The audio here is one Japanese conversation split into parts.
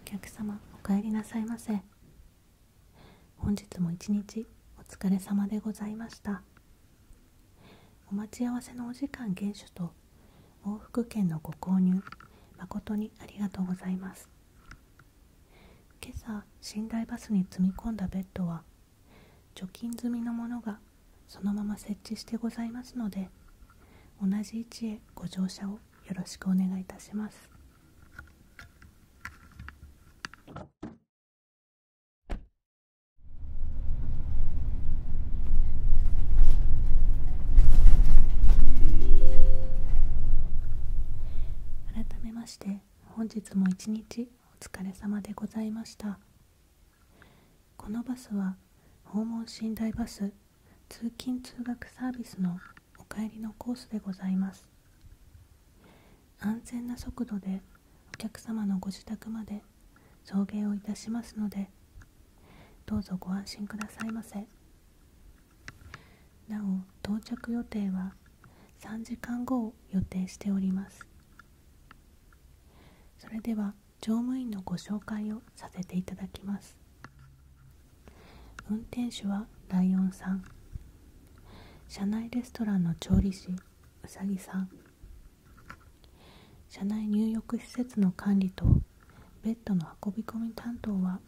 お客様お帰りなさいませ本日も一日お疲れ様でございましたお待ち合わせのお時間厳守と往復券のご購入誠にありがとうございます今朝寝台バスに積み込んだベッドは除菌済みのものがそのまま設置してございますので同じ位置へご乗車をよろしくお願いいたします。改めまして本日も一日お疲れ様でございました。このバスは訪問寝台バス通勤通学サービスのお帰りのコースでございます安全な速度でお客様のご自宅まで送迎をいたしますのでどうぞご安心くださいませなお到着予定は3時間後を予定しておりますそれでは乗務員のご紹介をさせていただきます運転手はライオンさん社内レストランの調理師うさぎさん社内入浴施設の管理とベッドの運び込み担当は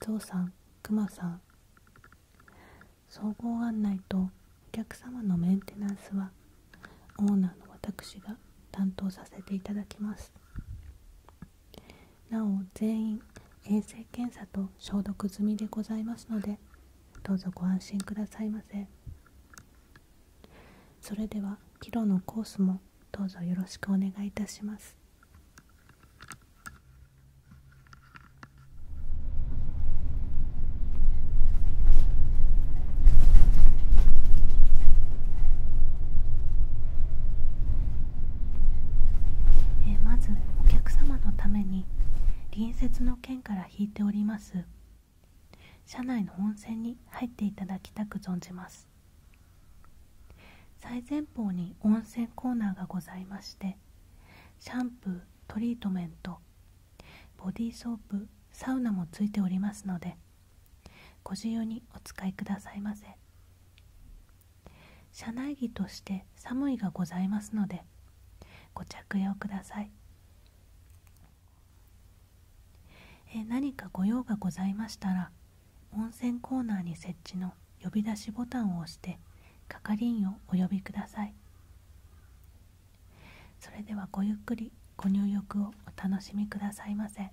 ゾウさんくまさん総合案内とお客様のメンテナンスはオーナーの私が担当させていただきますなお全員衛生検査と消毒済みでございますのでどうぞご安心くださいませそれでは帰路のコースもどうぞよろしくお願いいたしますえまずお客様のために隣接の県から引いております車内の温泉に入っていただきたく存じます最前方に温泉コーナーがございましてシャンプートリートメントボディーソープサウナも付いておりますのでご自由にお使いくださいませ車内着として寒いがございますのでご着用くださいえ何かご用がございましたら温泉コーナーに設置の呼び出しボタンを押して係員をお呼びくださいそれではごゆっくりご入浴をお楽しみくださいませ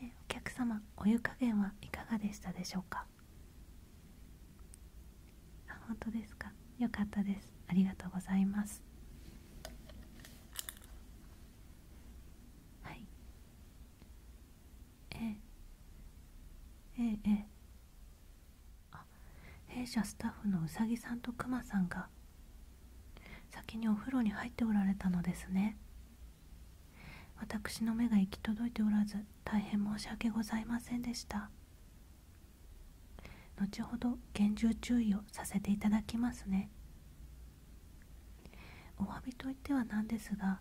お客様お湯加減はいかがでしたでしょうかあ本当ですかよかったですありがとうございますはいええええええ弊社スタッフのうさぎさんとくまさんが先にお風呂に入っておられたのですね私の目が行き届いておらず大変申し訳ございませんでした後ほど厳重注意をさせていただきますねお詫びといってはなんですが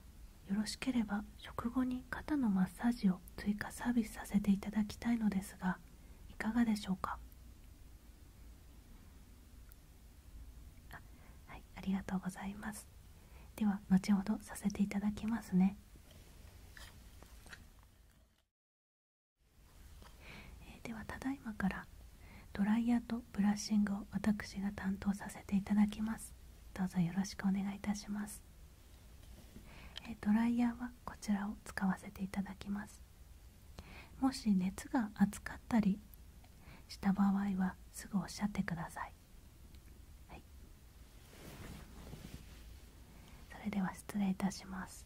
よろしければ食後に肩のマッサージを追加サービスさせていただきたいのですがいかがでしょうかはいありがとうございますでは後ほどさせていただきますねえー、ではただいまからドライヤーとブラッシングを私が担当させていただきますどうぞよろしくお願いいたしますドライヤーはこちらを使わせていただきますもし熱が熱かったりした場合はすぐおっしゃってください、はい、それでは失礼いたします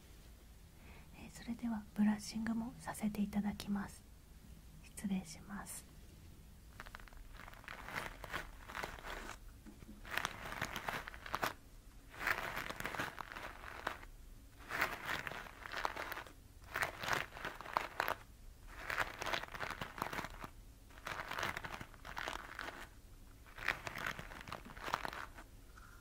えそれではブラッシングもさせていただきます失礼します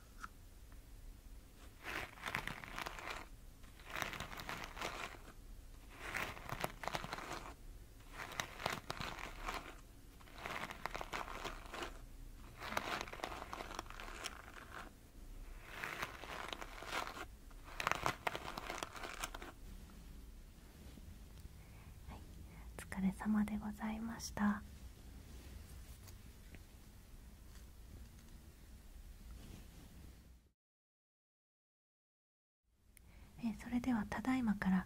はい、お疲れ様でございましたえそれではただいまから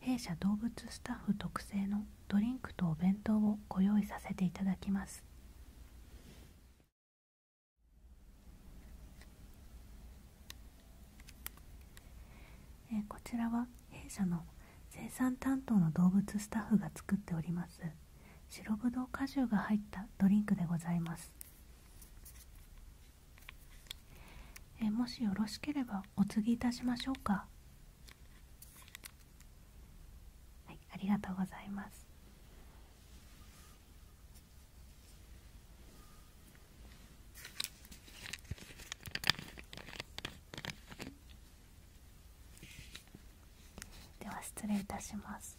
弊社動物スタッフ特製のドリンクとお弁当をご用意させていただきますえこちらは弊社の生産担当の動物スタッフが作っております白ぶどう果汁が入ったドリンクでございますえもしよろしければお継ぎいたしましょうかはいありがとうございますでは失礼いたします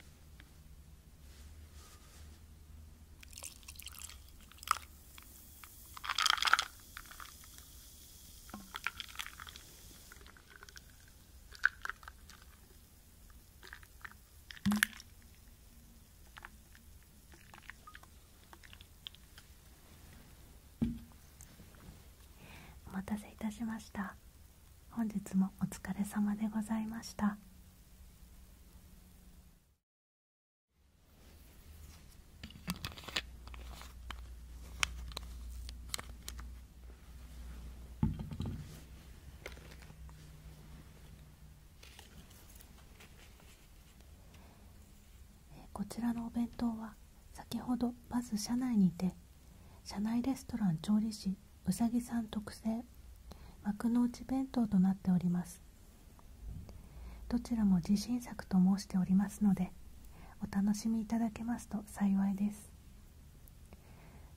お待たせいたしました本日もお疲れ様でございましたこちらのお弁当は先ほどまず車内にて社内レストラン調理師うさぎさん特製幕の内弁当となっておりますどちらも自信作と申しておりますのでお楽しみいただけますと幸いです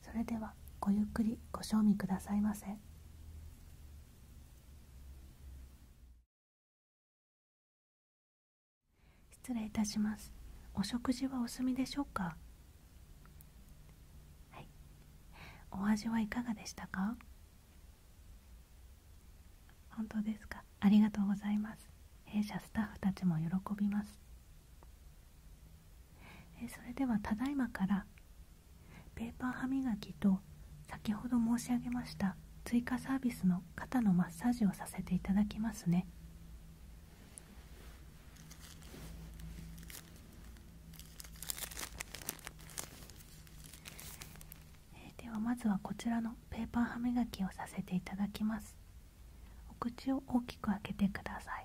それではごゆっくりご賞味くださいませ。失礼いたしますお食事はお済みでしょうかはいお味はいかがでしたか本当ですかありがとうございます弊社スタッフたちも喜びますえそれではただいまからペーパー歯磨きと先ほど申し上げました追加サービスの肩のマッサージをさせていただきますねではまずはこちらのペーパー歯磨きをさせていただきますお口を大きく開けてください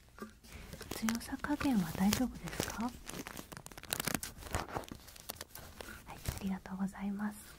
強さ加減は大丈夫ですかはいありがとうございます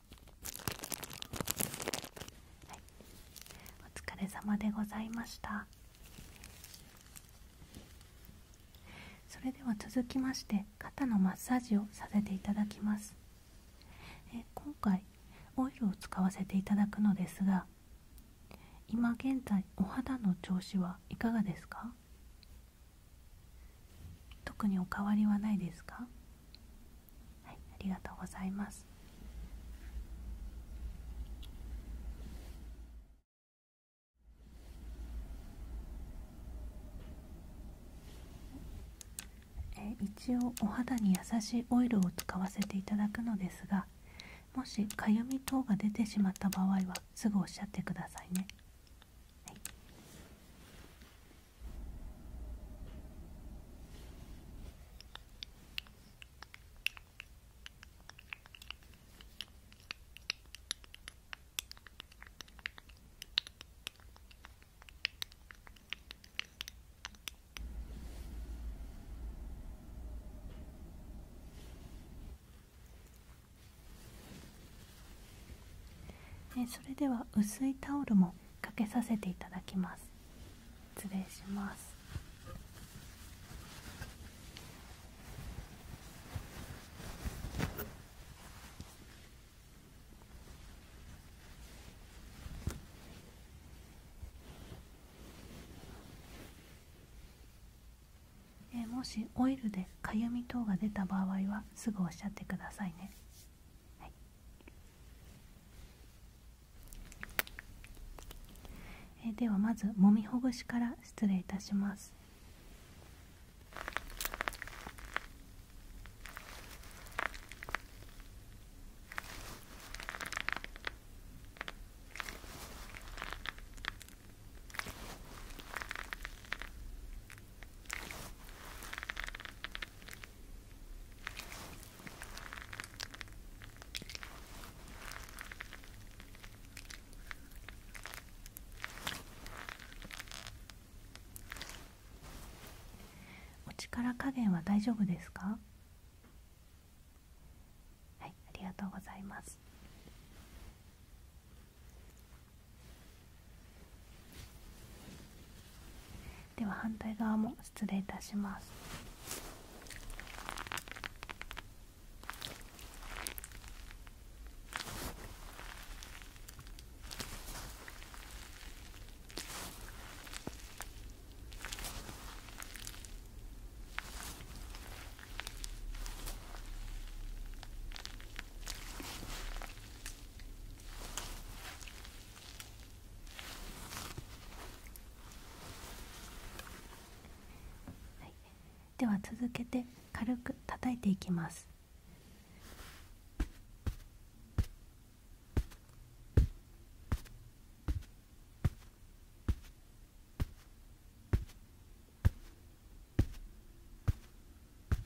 はい、お疲れ様でございましたそれでは続きまして肩のマッサージをさせていただきますえ今回オイルを使わせていただくのですが今現在お肌の調子はいかがですか特にお変わりはないですかはい、ありがとうございますえ一応お肌に優しいオイルを使わせていただくのですがもしかゆみ等が出てしまった場合はすぐおっしゃってくださいね。はい、えそれでは薄いタオルもかけさせていただきます失礼しますえもしオイルでかゆみ等が出た場合はすぐおっしゃってくださいねはい、ではまずもみほぐしから失礼いたしますお力加減は大丈夫ですかはいありがとうございますでは反対側も失礼いたしますはい、では続けて軽く叩いていきます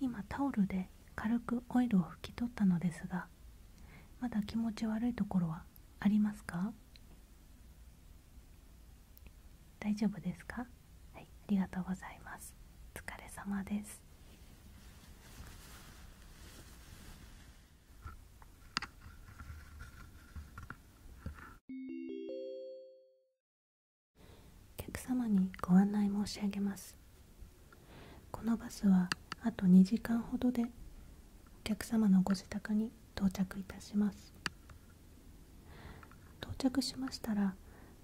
今タオルで軽くオイルを拭き取ったのですがまだ気持ち悪いところはありますか大丈夫ですかはい、ありがとうございますお疲れ様ですお客様にご案内申し上げますこのバスはあと2時間ほどでお客様のご自宅に到着いたします到着しましたら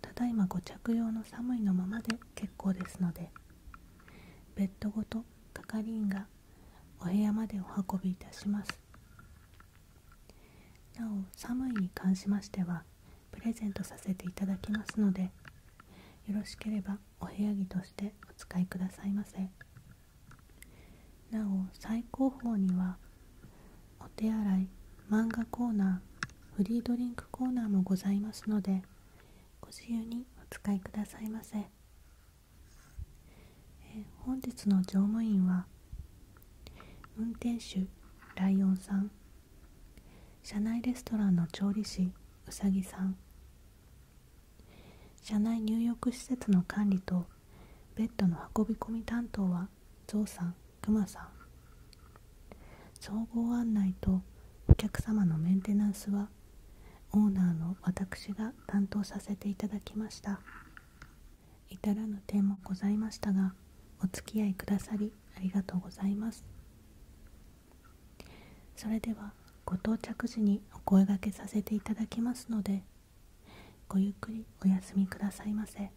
ただいまご着用の寒いのままで結構ですのでベッドごと係員がお部屋までお運びいたしますなお寒いに関しましてはプレゼントさせていただきますのでよろしければお部屋着としてお使いくださいませなお最高峰にはお手洗い漫画コーナーフリードリンクコーナーもございますのでご自由にお使いくださいませ本日の乗務員は運転手ライオンさん車内レストランの調理師うさぎさん社内入浴施設の管理とベッドの運び込み担当はゾウさんクマさん総合案内とお客様のメンテナンスはオーナーの私が担当させていただきました至らぬ点もございましたがお付き合いくださりありがとうございますそれではご到着時にお声がけさせていただきますのでごゆっくりお休みくださいませ。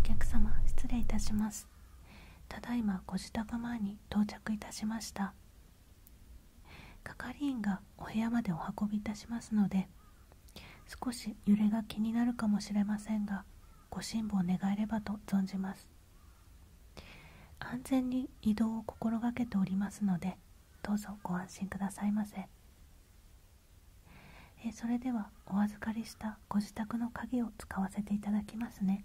お客様失礼いたします。ただいまご自宅前に到着いたしました。係員がお部屋までお運びいたしますので少し揺れが気になるかもしれませんがご辛抱願えればと存じます安全に移動を心がけておりますのでどうぞご安心くださいませえそれではお預かりしたご自宅の鍵を使わせていただきますね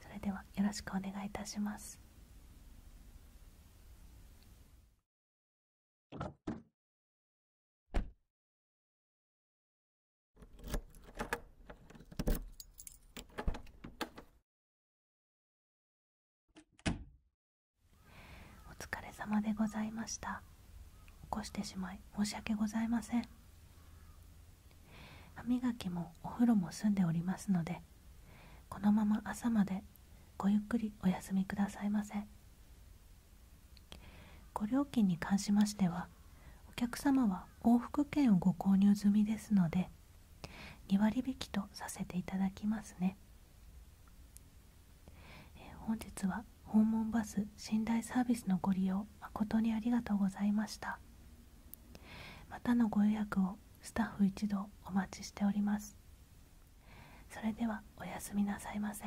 それではよろしくお願いいたしますお疲れ様でございました起こしてしまい申し訳ございません歯磨きもお風呂も済んでおりますのでこのまま朝までごゆっくりお休みくださいませご料金に関しましてはお客様は往復券をご購入済みですので2割引きとさせていただきますね、え本日は訪問バス寝台サービスのご利用誠にありがとうございました。またのご予約をスタッフ一同お待ちしておりますそれではおやすみなさいませ